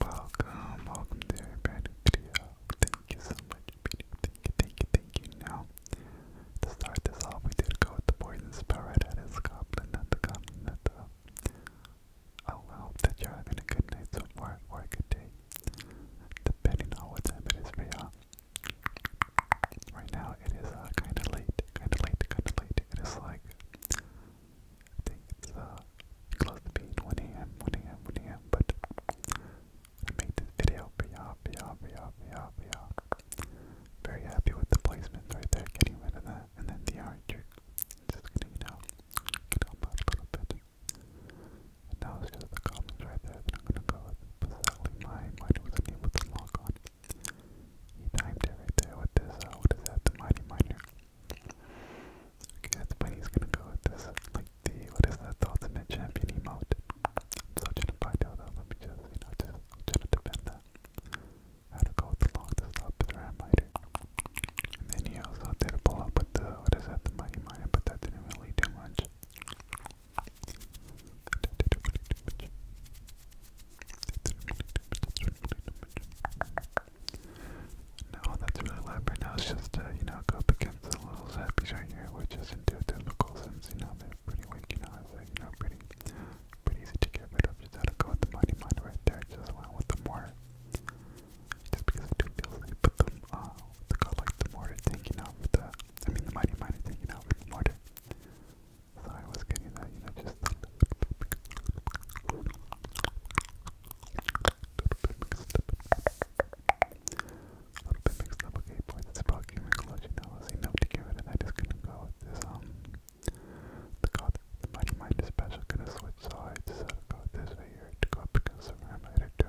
Welcome, welcome to a Thank you so much, Thank you, thank you, thank you. Now, to start this off, we did go with the poison spell at his goblin, not the goblin, not the. I oh, hope that you're having a good night so far or a good day, depending on what time it is for y'all. Right now, it is uh, kind of late, kind of late, kind of late. It is like I think it's uh, close to being 1 a.m., 1 a.m., 1 a.m., but I made this video for y'all, for y'all, for y'all, for y'all, for y'all. Very happy with the placement right there, getting rid of that, and then the archer. Just gonna, you know, get up a little bit. And now it's just the comments right there that I'm gonna go with. But sadly, my mind wasn't able to log on. He typed it right there with this, uh, what is that, the Mighty Miner. Okay, that's when he's gonna go with this, like the, what is that, the Ultimate Champion emote. I'm so trying to find out though, let me just, you know, just, I'm trying to defend that. How to go with the longest up with the Ram Rider. And then he also did a pull up with the, what is that, the Mighty Miner, but that didn't really do much. No, that's really loud right now. It's just, uh, you know, go up against the little zappies right here, which isn't too difficult since, you know, they're pretty weak, you know, it's you know, pretty, pretty easy to get rid of. Just gotta go with the mighty mind right there, just went with the mortar. Just because I do feel like, the, uh, the god like the mortar thing, you know, the, I mean, the mighty mind thing, you know, the mortar. So I was getting that, you know, just a little bit, mixed up. A little bit mixed up, okay, boys, it's I was enough to give it, and I just couldn't go with this, um, the god, the mind dispatch, I couldn't switch, so I to go with this right here, to go up against the RAM later, too.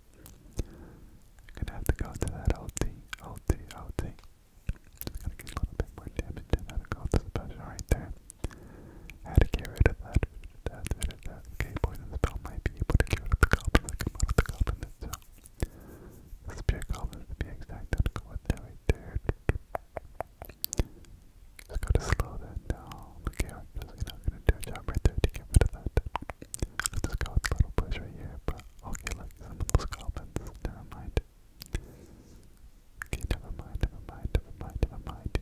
I'm gonna have to go to that LT, LT, LT. Just gonna get a little bit more damage and that'll go to special right there. had to get rid of that, that, that, that. Okay, poison spell might be able to get the goblin that come out the goblin itself. The goblin to be exact, I'll go Just gotta slow that down. Look here, i gonna do a job right there to get rid of that. I'll just go with a little push right here, but okay. will get like some of Never mind. never mind, never mind, never mind, never mind.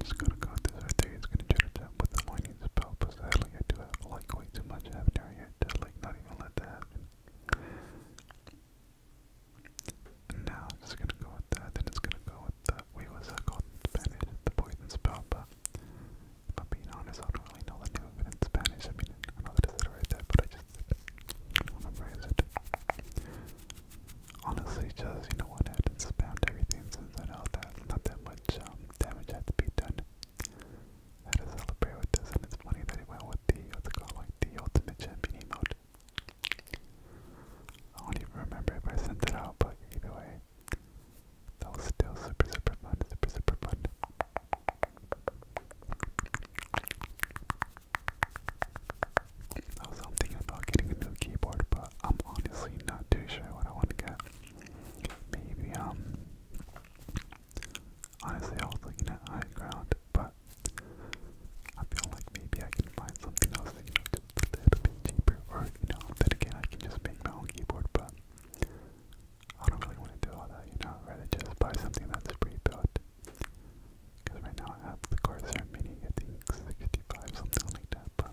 Just gonna go with this right there. It's gonna try jump with the whiny lightweights belt, but sadly I do have lightweight too much happening right here to like not even let that happen. And now I'm just gonna go with that, then it's gonna go with the wait what's that called in Spanish? The poison spell, but if I'm being honest, I don't really know the name of it in Spanish. I mean I know that I said it right there, but I just don't remember is it. Honestly just you know what I had to spam everything since I know that not that much um damage had to be done. How to celebrate with this, and it's funny that it went with the, what's it called, like the ultimate champion emote. I don't even remember if I sent it out, but either way, that was still super, super fun, super, super fun. I was thinking about getting a new keyboard, but I'm honestly not too sure what I want to get. Maybe, um, honestly, I was looking at high ground, but I feel like maybe I can find something else you know, just a bit cheaper, or, you know, again, I can just make my own keyboard, but I don't really want to do all that, you know, rather just buy something that's pre-built, because right now I have the Corsair Mini, I think 65, something like that, but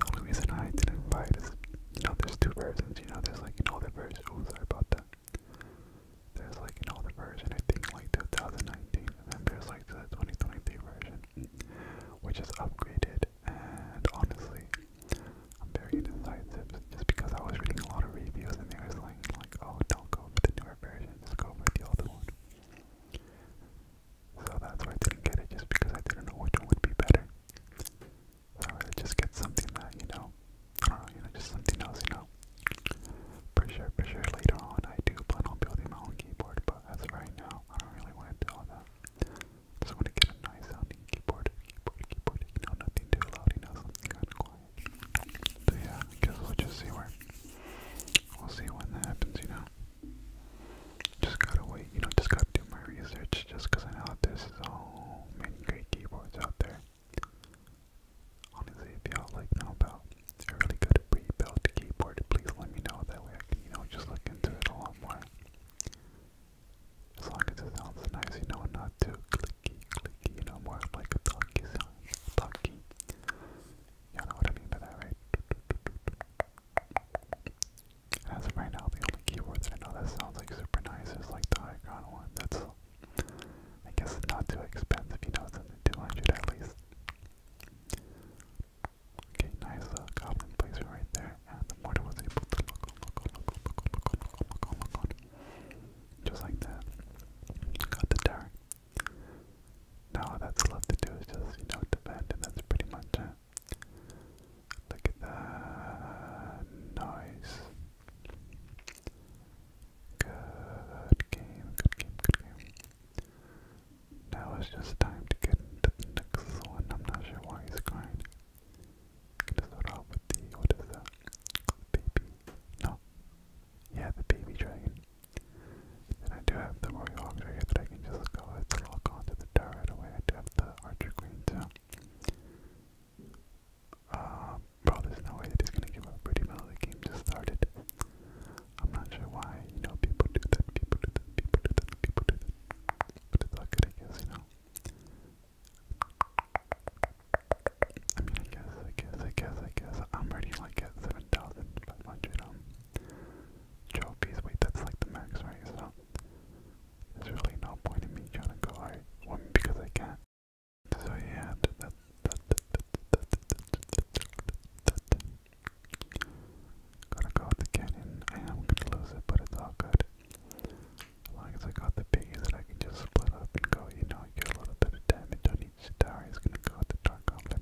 the only reason I didn't buy it is, you know, there's two versions, you know, there's like an older version, oh, sorry about that. There's like an older version, I think like 2019, and then there's like the 2023 version, which is upgraded, and honestly, I'm very indecisive, just because I was reading a lot of reviews and they were saying like, oh, don't go for the newer version, just go for the older one. So that's why I didn't get it, just because I didn't know which one would be better. I'd rather just get something that, you know, I don't know, you know, just something else, you know. For sure, for sure, later on I do plan on building my own keyboard, but as of right now, I don't really want to do all that. Just want to get a nice sounding keyboard, keyboard, keyboard, you know, nothing too loud, you know, something kind of quiet. So yeah, I guess we'll just see where, we'll see when that happens, you know. Just gotta wait, you know, just gotta do my research just because I know that there's all many great keyboards out there. Honestly, if y'all like know about a really good pre-built keyboard, please let me know. That way I can, you know, just look into it a lot more. As long as it sounds nice, you know, not too clicky, clicky, you know, more like a talky Talky. Y'all know what I mean by that, right? As of right now, the only keyboard that I know that sounds like super nice is like the Icon one. That's, I guess, not too expensive. You know, it's under 200 at least. Okay, nice uh, goblin placer right there. And the mortar was able to look on, look on, look on, look on, look on, look on, look on, look on. Just like that. Got the dart. Now all that's left to do is just, you know, defend, and that's pretty much it. Look at that. Nice. Good game, good game, good game. Now it's just time to get into the next one. I'm not sure why he's crying. Gonna start with the what is that? The baby. No. Yeah, the baby dragon. And I do have the Royal Auger here that I can just go and lock onto the door right away. I do have the Archer Queen, uh, bro, there's no way that he's gonna give up pretty well. The game just started. I'm not sure why, you know, people do that, people do that, people do that, people do that. But it's all good, I guess, you know. I guess, I guess, I guess, I guess. I'm already like at 7,500 um, trophies. Wait, that's like the max, right? So, there's really no point in me trying to go I because I can't. So yeah, that that Gotta go with the cannon. I am gonna lose it, but it's all good. As long as I got the piggies that I can just split up and go, you know, get a little bit of damage on each star is gonna go with the dark goblin.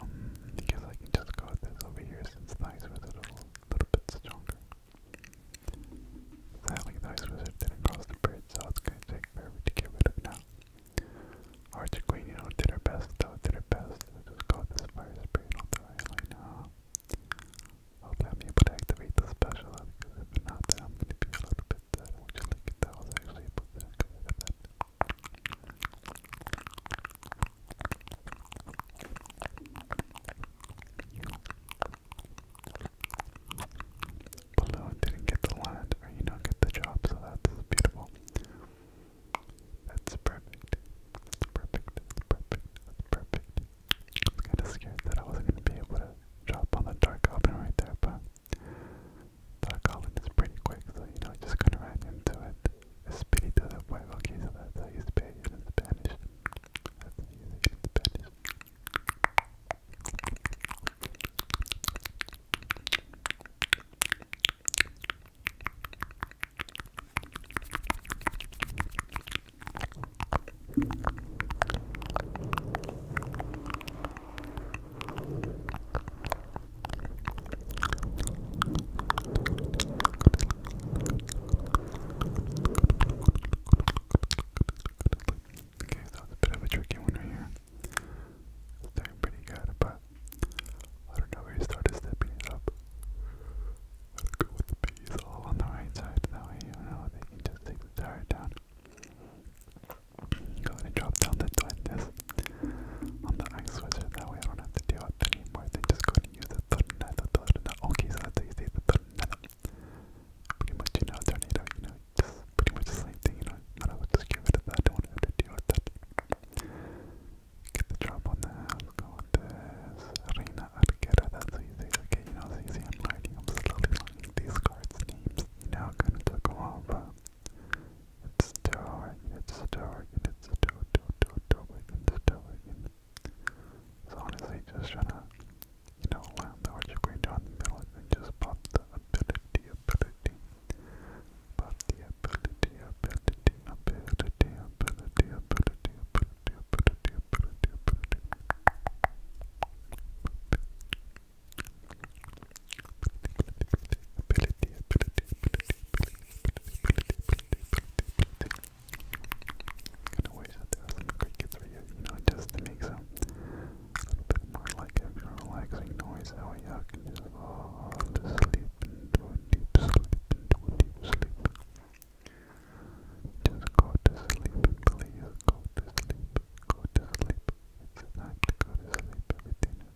Um, I guess can just go with this over here since the ice a little bit stronger. Sadly, the ice wizard did the bridge, so it's gonna take get rid of now. Archer Queen, you know, did her best, though, did her best. we just go this fire spirit on the right line I'm able to activate the special, I'm gonna be a little bit sad. I would you like it that I was actually able Balloon didn't get the land, or you know, get the job, so that's beautiful. That's perfect. perfect. perfect. perfect. I was kind of scared that I wasn't going to be able to drop on the dark oven right there, but so I got this pretty quick, so you know, just gonna right into it. Espíritu del fuego, okay, so that's how you spell it in Spanish. That's how you say it in Spanish. Okay, so it's a bit of a tricky one here. It's pretty good, but I don't know where you started stepping it up. Let's go with the bees all on the right side, that way you know they can just take the tire down. Go ahead and drop down the Duendes on the Ice Wizard. That way I don't have to deal with it anymore. They just go ahead and use the Tornado, the Tornado. Okay, so that's how you say the Pretty much, you know, Tornado, you know, just pretty much the same thing, you know. I do just get rid of that. don't have to deal with that. Get the drop on that. go with this. Reina Arquera, that's how Okay, you know, it's easy. I'm learning. I'm slowly learning these cards' names. You know, it kind of took a while, but. It's dark, it's dark, it's dark, dark, dark, it's dark. So honestly, just trying to, you know, land the Archer Queen down the middle and just pop the ability, ability. Pop the ability, ability, ability, ability, ability, ability, ability, ability, ability. Kinda wish that there was some crickets for you, you know, just to make some a little bit more like a relaxing noise. That way can just fall to sleep into a deep sleep, into a deep sleep. Just go to sleep, please. Go to sleep. Go to sleep. It's time to go to sleep. Everything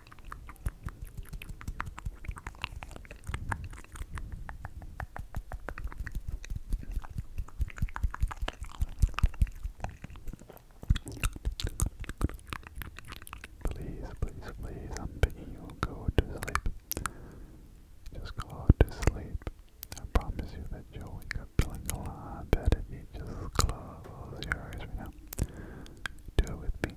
Please, please, please, I'm begging you, go to sleep. Just go to sleep. I promise you that you'll wake up feeling a lot better if you just close your eyes right now. Do it with me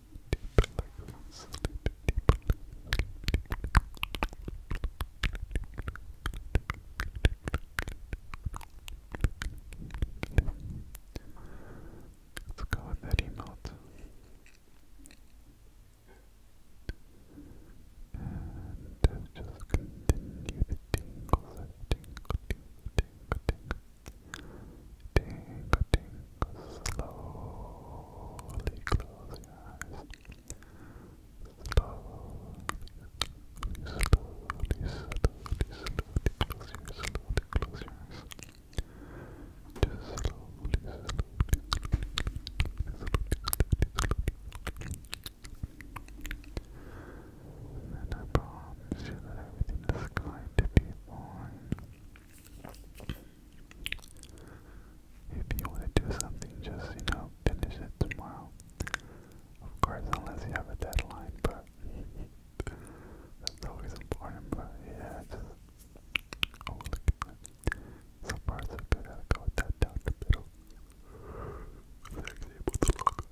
Let's go with that emote. And just continue the tingles, tingle, tingle, tingle, tingle, tingle, cutting. Slowly close your eyes. Slowly, slowly, slowly, slowly close your slowly close your eyes. Just slowly, slowly, slowly, slowly, slowly. And I promise you that everything is going to be fine. If you want to do something, just, you know, finish it tomorrow. Of course, unless you have a deadline, but that's always important, but yeah, just, oh, look at that. I gotta down the middle. I was actually able to log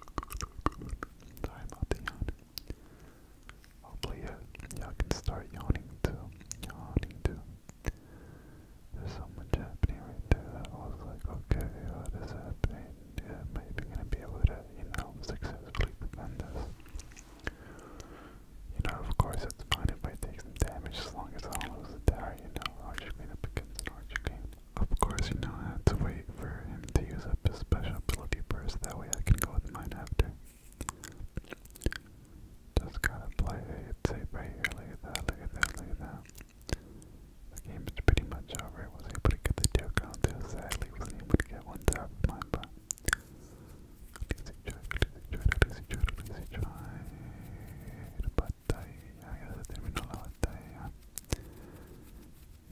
on. Sorry about the yawn. Hopefully, y'all can start yawning too. Yawning too. There's so much happening right there that I was like, okay, what is happening? Yeah, maybe gonna be able to, you successfully defend this. You know, of course, it's fine if I take damage as long as I don't lose you know. Archer Queen up against Archer Queen. Of course, you know, I have to wait for him to use up his special ability first, that way I can go with mine after. Just gotta play it safe right here. Look that, look that, look that. The game's pretty much over. was able to get the deal gone too. Sadly, was able to get one to of mine, but. Easy try, easy try, easy try, easy try. But I, I guess I didn't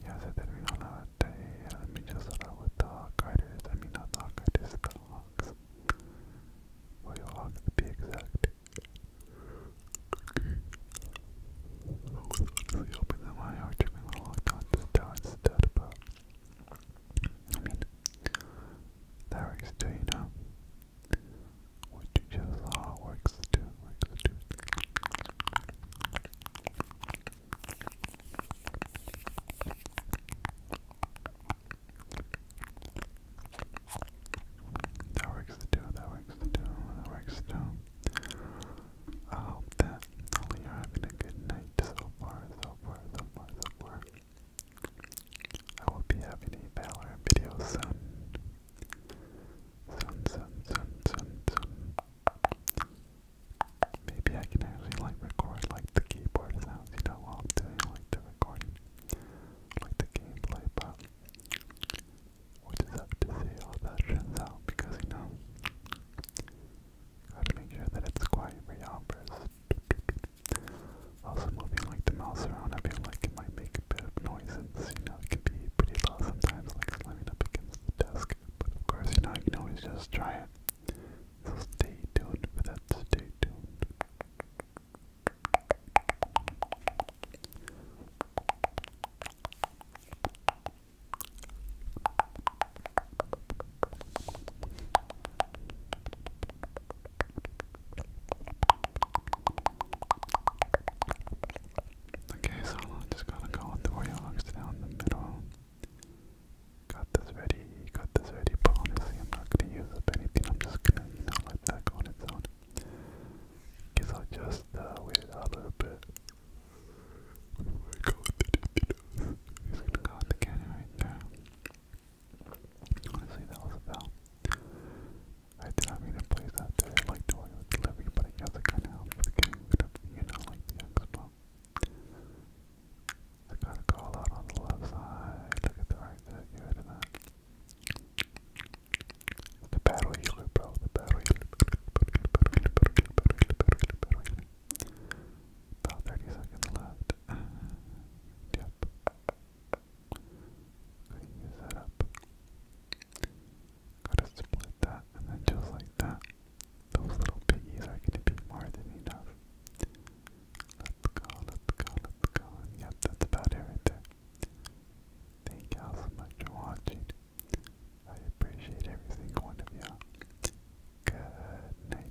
yeah, se terminó la batalla. Let me just start with I mean, not the hawk riders, the hawks. Royal to be I was honestly hoping that my archman would lock on to Star instead, but. I mean, that works too, you know? What you just saw works too. That works too, that works too, that works too. I hope that you're having a good night so far, so far, so far, so far. I will be having a Valorant video Soon, soon, soon, soon, soon. Maybe I can actually like record like the keyboard sounds, you know, while I'm like the recording, like the gameplay, but we'll just have to see how that turns out because you know, gotta make sure that it's quiet for y'all first. Also moving like the mouse around, I feel like it might make a bit of noise and you know, it can be pretty loud sometimes, like slamming up against the desk. But of course, you know, you can always just try it. So stay tuned for that. Stay tuned. Okay, so I'm just gonna go with the Warriors down the middle. Got this ready, got this ready, but honestly I'm not gonna use up anything, I'm just gonna, you know, let that go on its own. Guess I'll just uh, wait it out a little bit. Go He's gonna go with the cannon right there. Honestly, that was a foul. I did not mean to place that there, like the Warriors delivery, but I guess it kinda helped with the I got a call out on the left side, look at the right there, get The battle healer, bro, the battle healer, About 30 seconds left. Yep. Okay, up got split that, and then just like that, those little piggies are gonna be more than enough. Let's go, let's go, let's yep, that's about it Thank y'all so much for watching. I appreciate every single one of y'all. Good night.